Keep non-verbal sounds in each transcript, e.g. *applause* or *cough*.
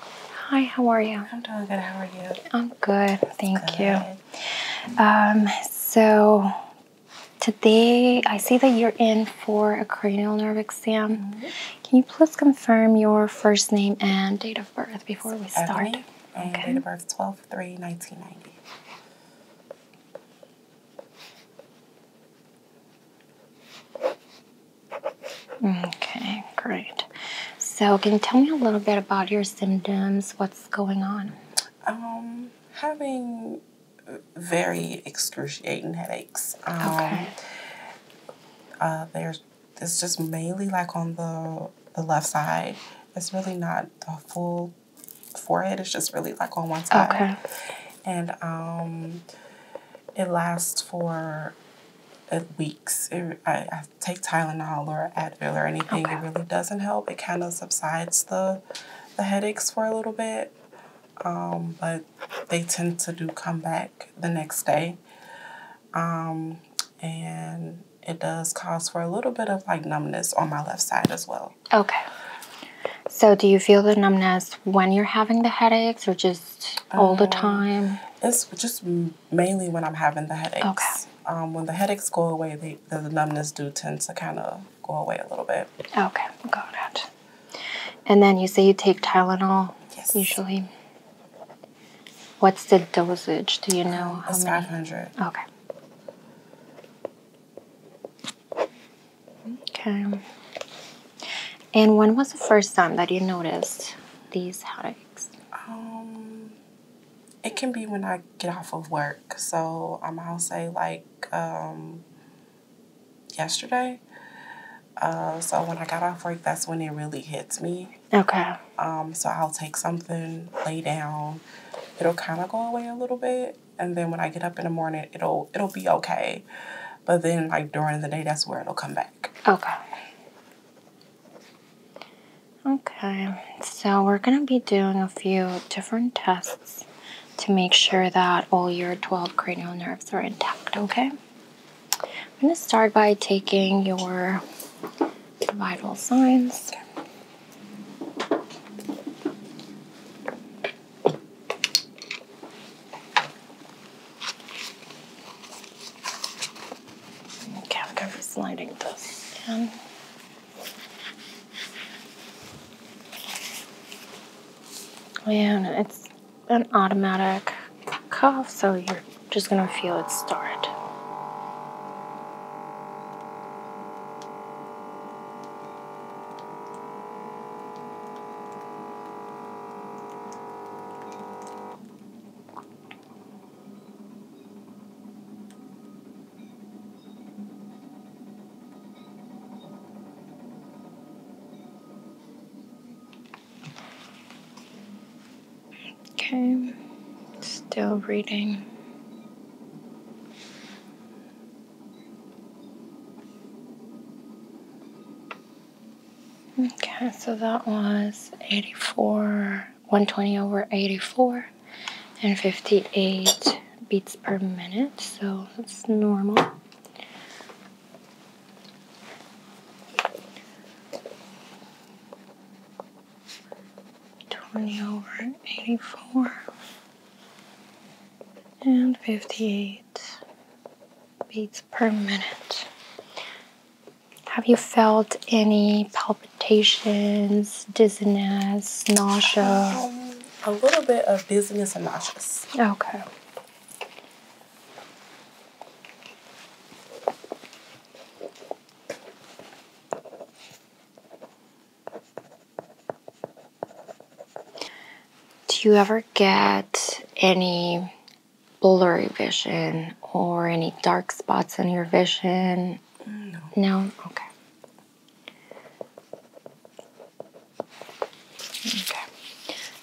Hi, how are you? I'm doing good. How are you? I'm good. Thank you. Um, so today I see that you're in for a cranial nerve exam. Mm-hmm. Can you please confirm your first name and date of birth before we start? Okay. And date of birth 12 3 1990. Okay, great. So, can you tell me a little bit about your symptoms? What's going on? Um, having uh, very excruciating headaches. Um, okay. Uh, there's it's just mainly like on the the left side. It's really not the full forehead. It's just really like on one side. Okay. And um, it lasts for uh, weeks. It, I, uh, I, take Tylenol or Advil or anything. It really doesn't help. It kind of subsides the the headaches for a little bit, um, but they tend to do come back the next day, um, and it does cause for a little bit of like numbness on my left side as well. Okay. So, do you feel the numbness when you're having the headaches, or just all the um, time? It's just mainly when I'm having the headaches. Okay. Um, when the headaches go away, the numbness do tend to kind of go away a little bit. Okay, got it. And then you say you take Tylenol. Yes. Usually. What's the dosage? Do you know? Um, it's 500. Okay. Okay. And when was the first time that you noticed these headaches? Um, it can be when I get off of work. So um, I'll say like um, yesterday. Uh, so when I got off work, that's when it really hits me. Okay. Um, so I'll take something, lay down. It'll kind of go away a little bit, and then when I get up in the morning, it'll it'll be okay. But then like during the day, that's where it'll come back. Okay. Okay, so we're going to be doing a few different tests to make sure that all your 12 cranial nerves are intact, okay? I'm going to start by taking your vital signs. Okay, i sliding this in. Oh, and it's an automatic cuff, so you're just gonna feel it start. Okay, still reading. Okay, so that was 84 120 over 84 and 58 beats per minute, so that's normal. Twenty over eighty four and fifty eight beats per minute. Have you felt any palpitations, dizziness, nausea? Um, a little bit of dizziness and nausea. Okay. Do you ever get any blurry vision or any dark spots in your vision? No. Okay. Okay.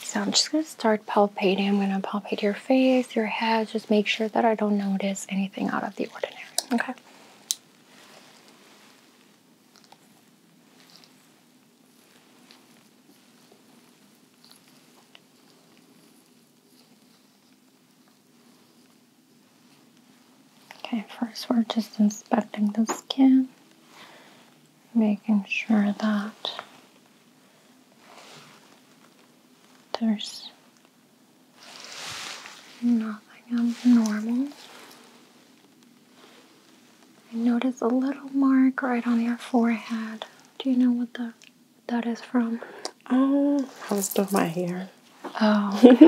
So I'm just going to start palpating. I'm going to palpate your face, your head, just make sure that I don't notice anything out of the ordinary. Okay. Okay, first we're just inspecting the skin, making sure that there's nothing abnormal. I notice a little mark right on your forehead. Do you know what that? that is from? Um, I was doing my hair. Oh, okay. *laughs*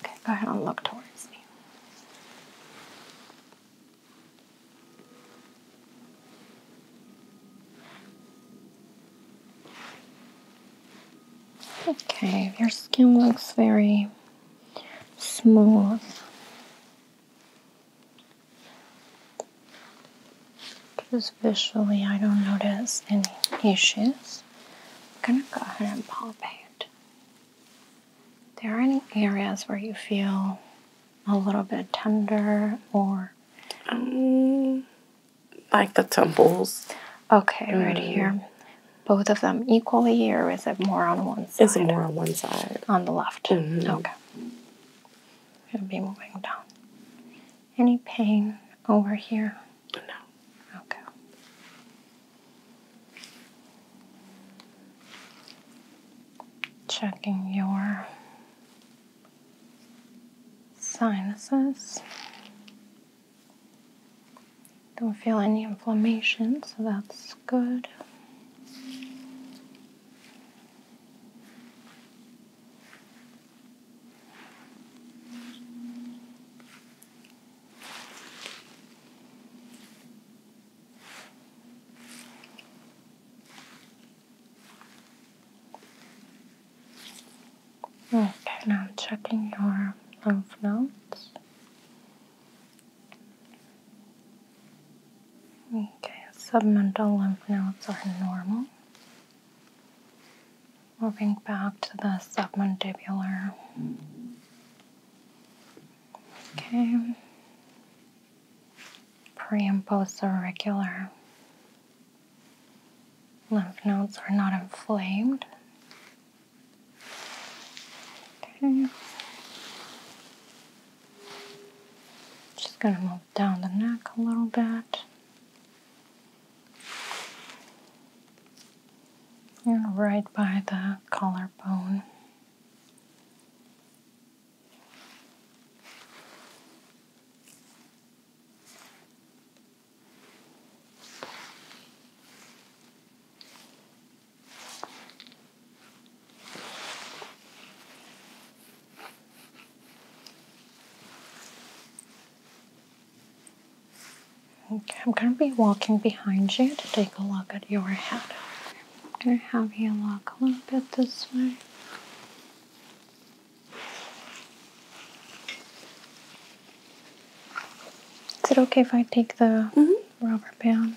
okay, go ahead and look towards me. Okay, your skin looks very smooth. Because visually I don't notice any issues. I'm gonna go ahead and palpate. There are any areas where you feel a little bit tender or um, like the temples. Okay, right mm. here. Both of them equally, or is it more on one side? It's more on one side. On the left. Mm-hmm. Okay. I'm gonna be moving down. Any pain over here? No. Okay. Checking your sinuses. Don't feel any inflammation, so that's good. Okay, now I'm checking your lymph nodes. Okay, submental lymph nodes are normal. Moving back to the submandibular. Okay. Pre and post auricular. Lymph nodes are not inflamed. Okay. Just gonna move down the neck a little bit. You're right by the collarbone. I'm going to be walking behind you to take a look at your head. I'm going to have you look a little bit this way. Is it okay if I take the mm-hmm. rubber band?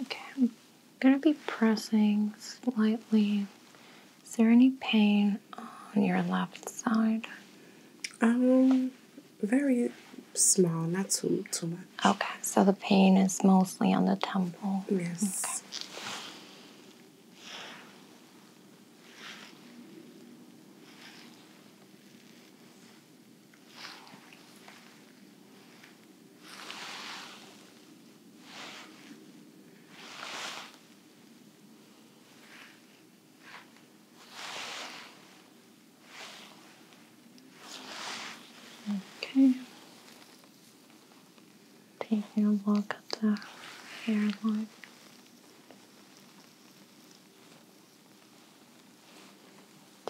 Okay, I'm gonna be pressing slightly. Is there any pain on your left side? Um, very small, not too too Okay, so the pain is mostly on the temple. Yes. Okay. Okay. Taking a look at the hairline.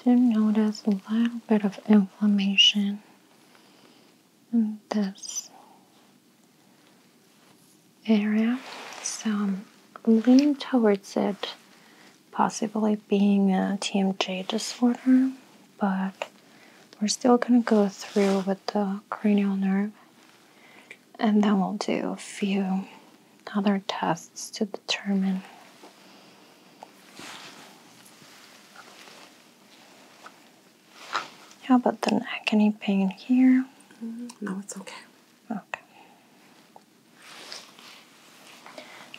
Do notice a little bit of inflammation in this area, so I'm leaning towards it possibly being a TMJ disorder, but we're still going to go through with the cranial nerve and then we'll do a few other tests to determine how about the neck any pain here mm, no it's okay okay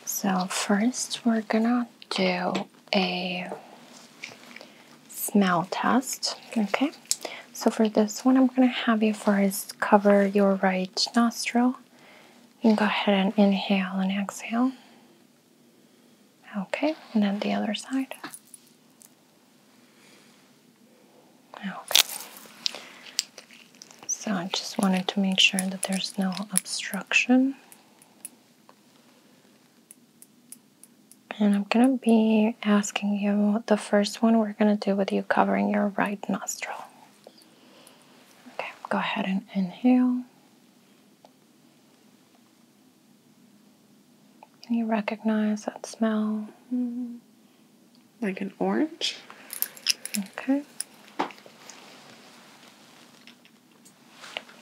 so first we're gonna do a smell test. Okay, so for this one, I'm going to have you first cover your right nostril. You go ahead and inhale and exhale. Okay, and then the other side. Okay. So I just wanted to make sure that there's no obstruction. And I'm gonna be asking you the first one we're gonna do with you covering your right nostril. Okay, go ahead and inhale. Can you recognize that smell? Like an orange? Okay.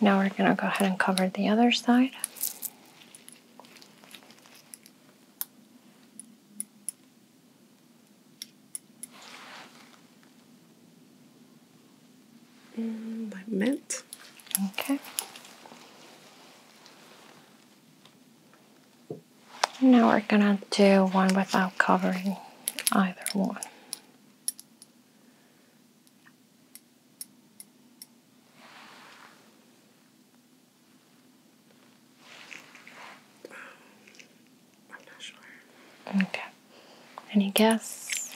Now we're going to go ahead and cover the other side. Mm, like mint. Okay. Now we're going to do one without covering either one. Okay. Any guesses?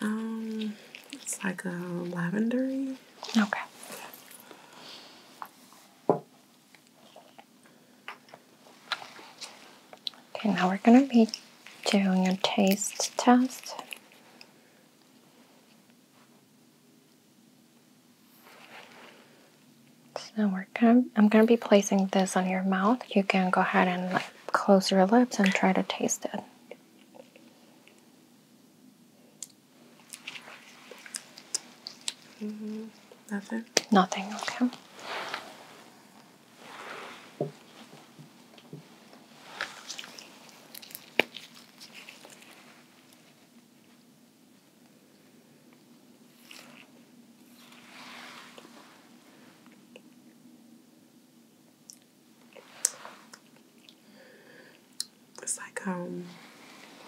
Um, it's like a lavendery. Okay. Okay, now we're gonna be doing a taste test. So we're gonna, I'm gonna be placing this on your mouth. You can go ahead and close your lips and try to taste it. Mm-hmm. Nothing. Nothing. Okay. It's like um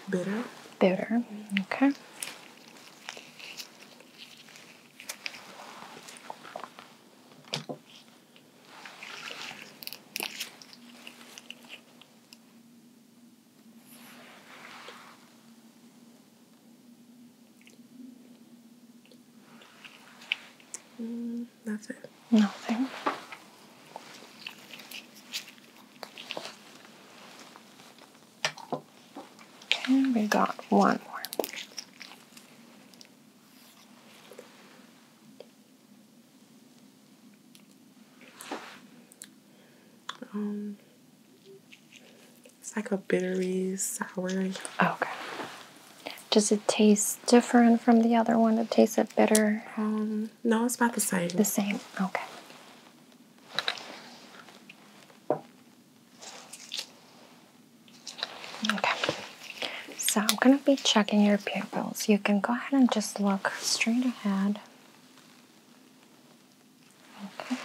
bitter. Bitter. Okay nothing. Nothing. Okay, we got one more. Um, it's like a bittery sour. Okay. Does it taste different from the other one? It tastes bitter. Um, no, it's about the same. The same. Okay. Okay, so I'm going to be checking your pupils. You can go ahead and just look straight ahead. Okay.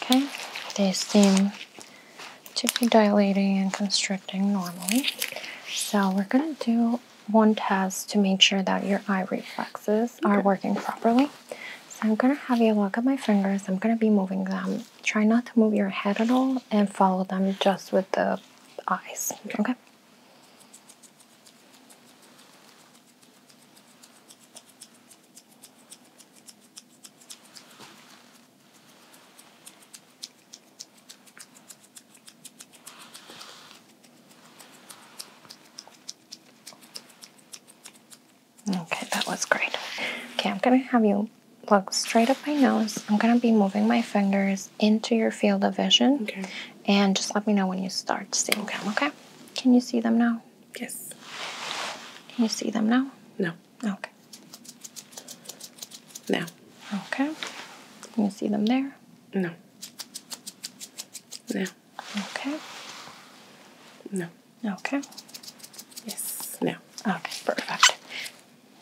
Okay, they seem to be dilating and constricting normally. So we're going to do one test to make sure that your eye reflexes are working properly. So I'm going to have you look at my fingers. I'm going to be moving them. Try not to move your head at all and follow them just with the eyes. okay? Okay, that was great. Okay, I'm gonna have you look straight up my nose. I'm gonna be moving my fingers into your field of vision. Okay. And just let me know when you start seeing okay. them, okay? Can you see them now? Yes. Can you see them now? No. Okay. No. Okay. You see them there? No. No. Okay. No. Okay. Yes. No. Okay, perfect.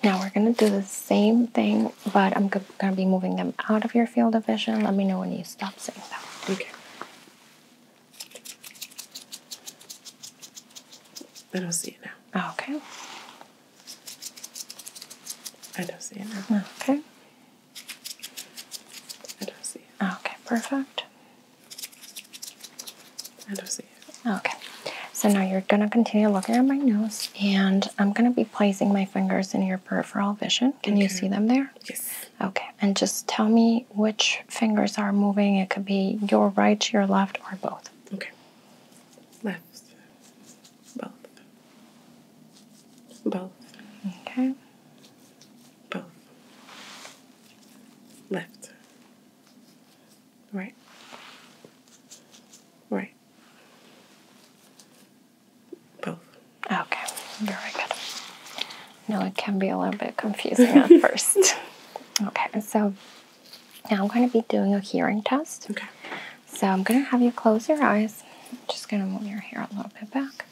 Now we're going to do the same thing, but I'm going to be moving them out of your field of vision. Let me know when you stop saying that. Okay. I don't see it now. Okay. I don't see it. No. Okay. I don't see it. Okay, perfect. I don't see it. Okay. So now you're going to continue looking at my nose, and I'm going to be placing my fingers in your peripheral vision. Can you see them there? Yes. Okay, and just tell me which fingers are moving. It could be your right, your left, or both. Okay. Left. Both. Both. Okay. Both. Left. Right. Right. Both. Okay. Very good. No, it can be a little bit confusing at *laughs* first. Okay, so now I'm going to be doing a hearing test. Okay. So I'm going to have you close your eyes. just going to move your hair a little bit back.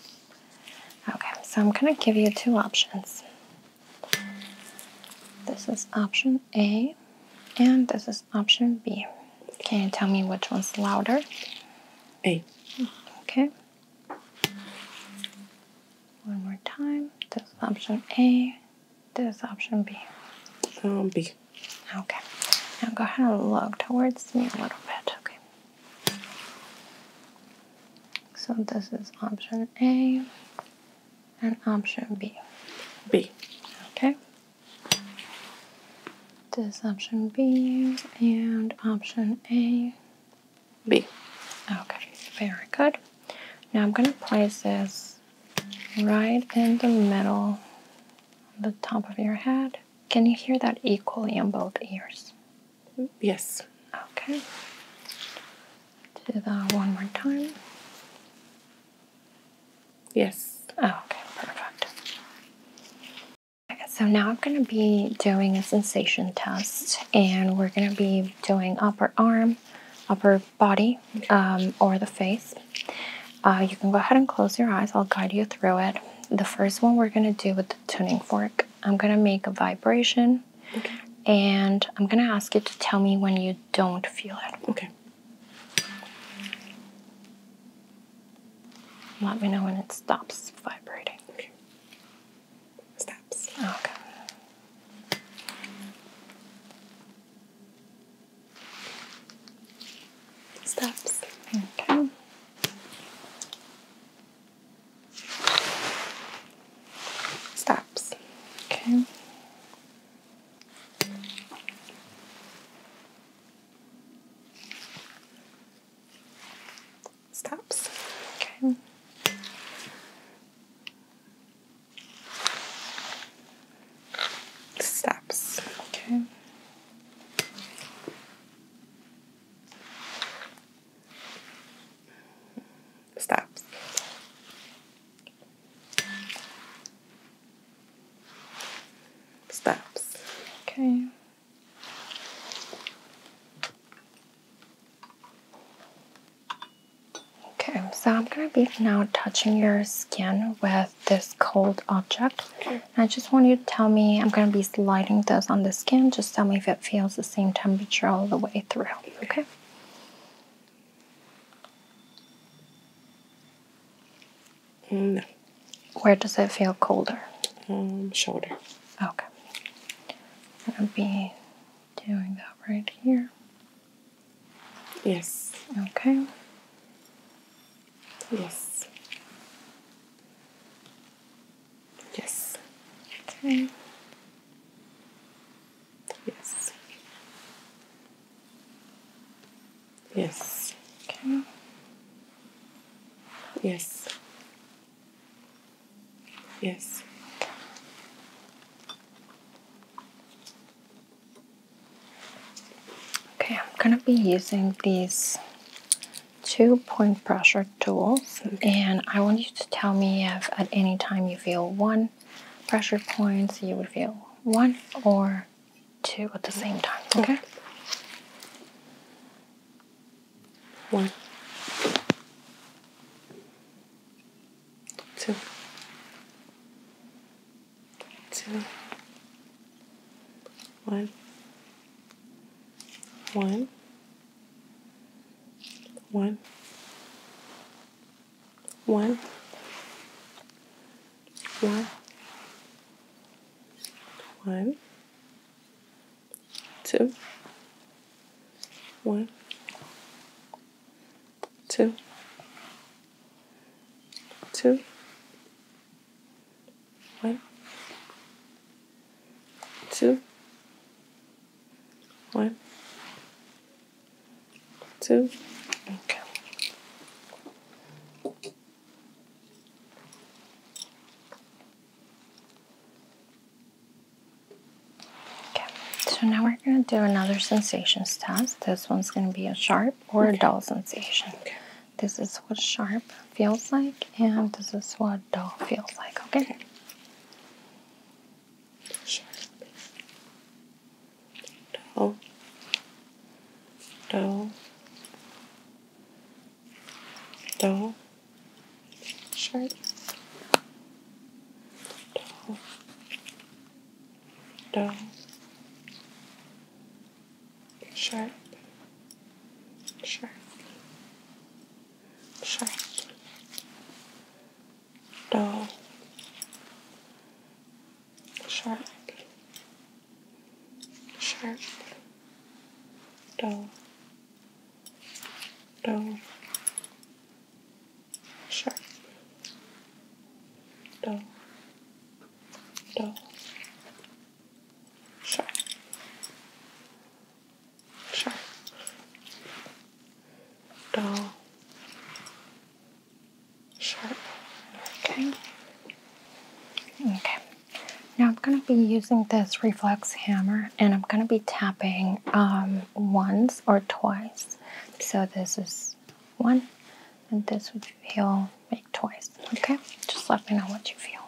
Okay, so I'm going to give you two options. This is option A, and this is option B. Can you tell me which one's louder? A. Okay. One more time. This is option A, this option B. Um, B. Okay. Now go ahead and look towards me a little bit. Okay. So this is option A and option B. B. Okay. This option B and option A. B. Okay. Very good. Now I'm going to place this right in the middle, the top of your head. Can you hear that equally in both ears? Yes. Okay. Do that one more time. Yes. okay, perfect. Okay, so now I'm going to be doing a sensation test, and we're going to be doing upper arm, upper body um, or the face. Uh, you can go ahead and close your eyes. I'll guide you through it. The first one we're going to do with the tuning fork. I'm going to make a vibration and I'm going to ask you to tell me when you don't feel it. Okay. Let me know when it stops vibrating. Stops. Okay. Stops. Okay. Steps. Okay. Steps. Okay. Stops. Okay. Steps. Steps. Okay. Okay, so I'm going to be now touching your skin with this cold object. I just want you to tell me, I'm going to be sliding this on the skin. Just tell me if it feels the same temperature all the way through. Okay? Mm. Where does it feel colder? Um, shoulder. Okay. I'm going to be doing that right here. Yes. Okay. Yes. Yes. Okay. Yes. Yes. Okay. Yes. Yes. Okay, I'm going to be using these two point pressure tools and I want you to tell me if at any time you feel one pressure point, you would feel one or two at the same time, mm-hmm. okay? One. Two two, one, one, one, one, one, one, two, one, two, two one, two, one, two. Okay. okay. So now we're going to do another sensations test. This one's going to be a sharp or a dull sensation. This is what sharp feels like, and this is what dull feels like, okay? Sharp. Dull. Dull. Dull. Sharp. Dull. Dull. Shark, shark, shark, dull, shark, shark, dull, dull, shark, dull, dull, Sure. Sure. Dull. Sharp. Okay. Okay. Now I'm going to be using this reflex hammer and I'm going to be tapping um, once or twice. So this is one and this would feel make twice. Okay, just let me know what you feel.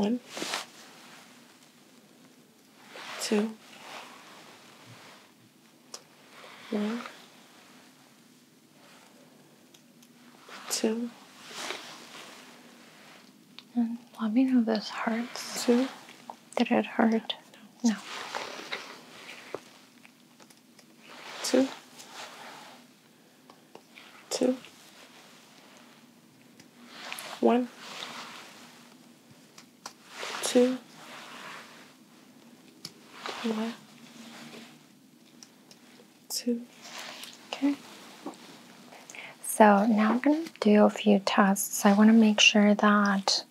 One, two, one, two, and let me know if this hurts. Two. Did it hurt? No. Two two, one, two, one, two. Okay. So now I'm going to do a few tests. I want to make sure that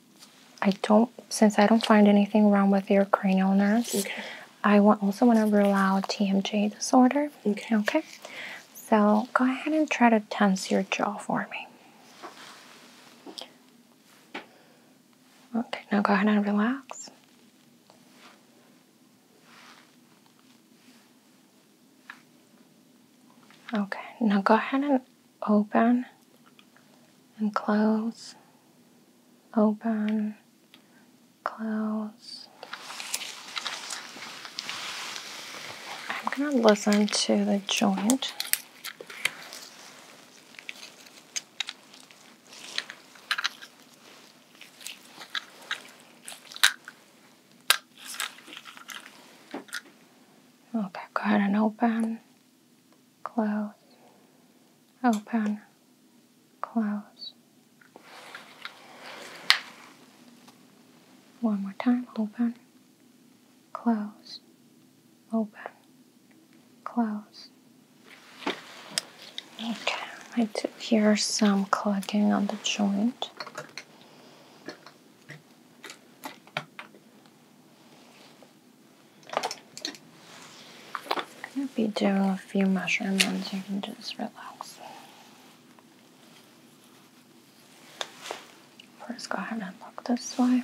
I don't, since I don't find anything wrong with your cranial nerves, okay. I will also want to rule out TMJ disorder. Okay. Okay. So go ahead and try to tense your jaw for me. Okay. Now go ahead and relax. Okay. Now go ahead and open and close. Open Close. I'm going to listen to the joint. Okay, go ahead and open, close, open. Close. One more time, open, close, open, close. Okay, I do hear some clacking on the joint. I'll be doing a few mushroom ones. You can just relax. First, go ahead and look this way.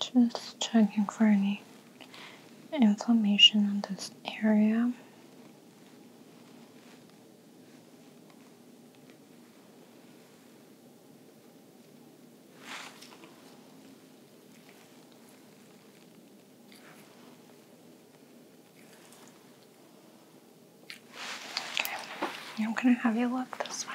Just checking for any inflammation in this area. Okay, I'm gonna have you look this way.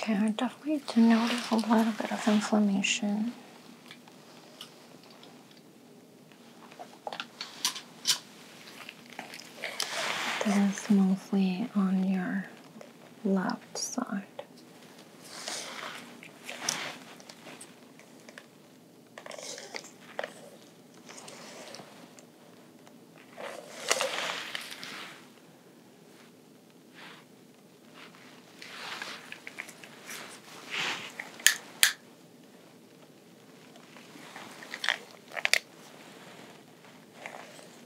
Okay, I definitely do notice a little bit of inflammation. This is mostly on your left side.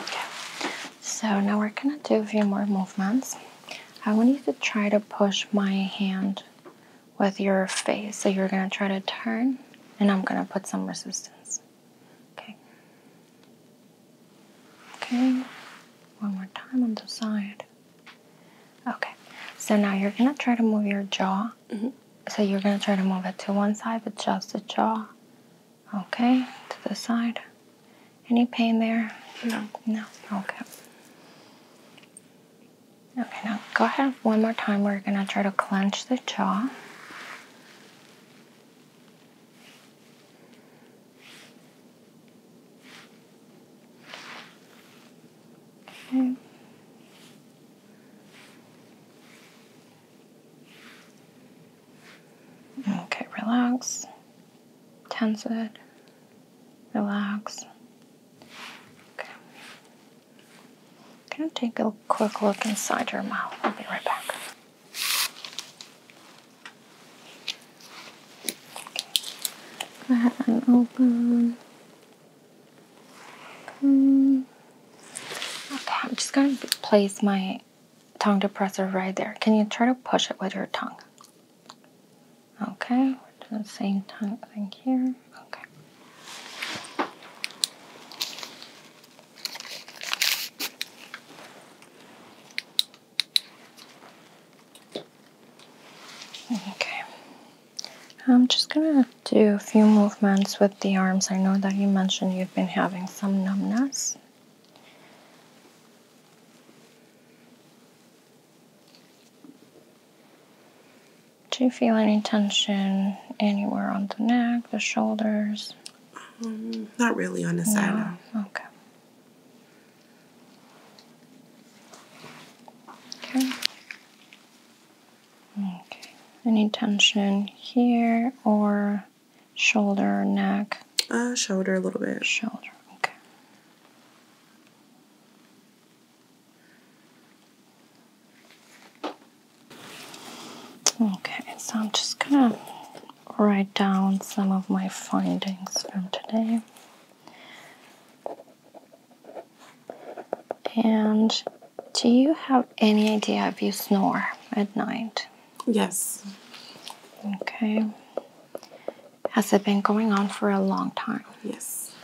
Okay, so now we're gonna do a few more movements. I want you to try to push my hand with your face. So you're going to try to turn, and I'm going to put some resistance. Okay. Okay. One more time on the side. Okay. So now you're going to try to move your jaw. Mm-hmm. So you're going to try to move it to one side, but just the jaw. Okay. To the side. Any pain there? No. No. Okay. Okay, now go ahead one more time. We're going to try to clench the jaw. Okay. Okay, relax. Tense it. Relax. Okay. Can I take a quick look inside your mouth? I'll be right back. Go ahead and open. Hmm. Okay, I'm just going to place my tongue depressor right there. Can you try to push it with your tongue? Okay, we the same thing here. Okay. Okay, I'm just gonna do a few movements with the arms. I know that you mentioned you've been having some numbness. Do you feel any tension anywhere on the neck, the shoulders? Um, not really on the side. No. Okay. Okay. Okay. Any tension here or shoulder, neck? Uh, shoulder a little bit. Shoulder. Okay. Okay, so I'm just gonna write down some of my findings from today. And do you have any idea if you snore at night? Yes. Okay. Has it been going on for a long time? Yes.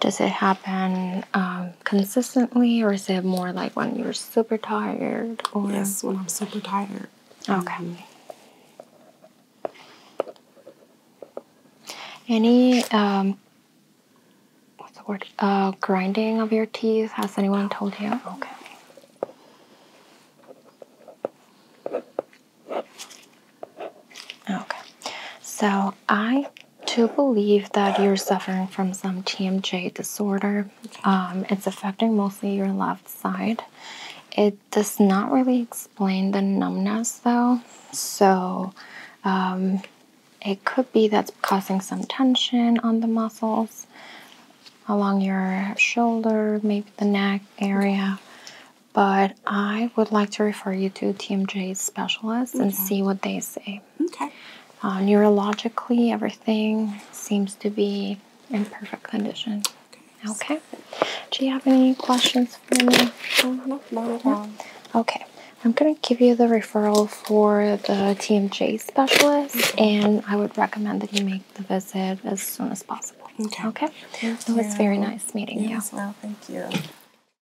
Does it happen um, consistently, or is it more like when you're super tired? Or? Yes, when I'm super tired. Okay. Mm-hmm. Any um, what's the word? Uh, grinding of your teeth. Has anyone told you? Okay. Okay. So I to believe that you're suffering from some TMJ disorder. Um, it's affecting mostly your left side. It does not really explain the numbness though, so um, it could be that's causing some tension on the muscles along your shoulder, maybe the neck area. But I would like to for you to TMJ specialist and see what they say. Okay. Uh, neurologically, everything seems to be in perfect condition. Okay. Do you have any questions for me? Okay. I'm going to give you the referral for the TMJ specialist, and I would recommend that you make the visit as soon as possible. Okay. Okay. it was very nice meeting you. Well, thank you.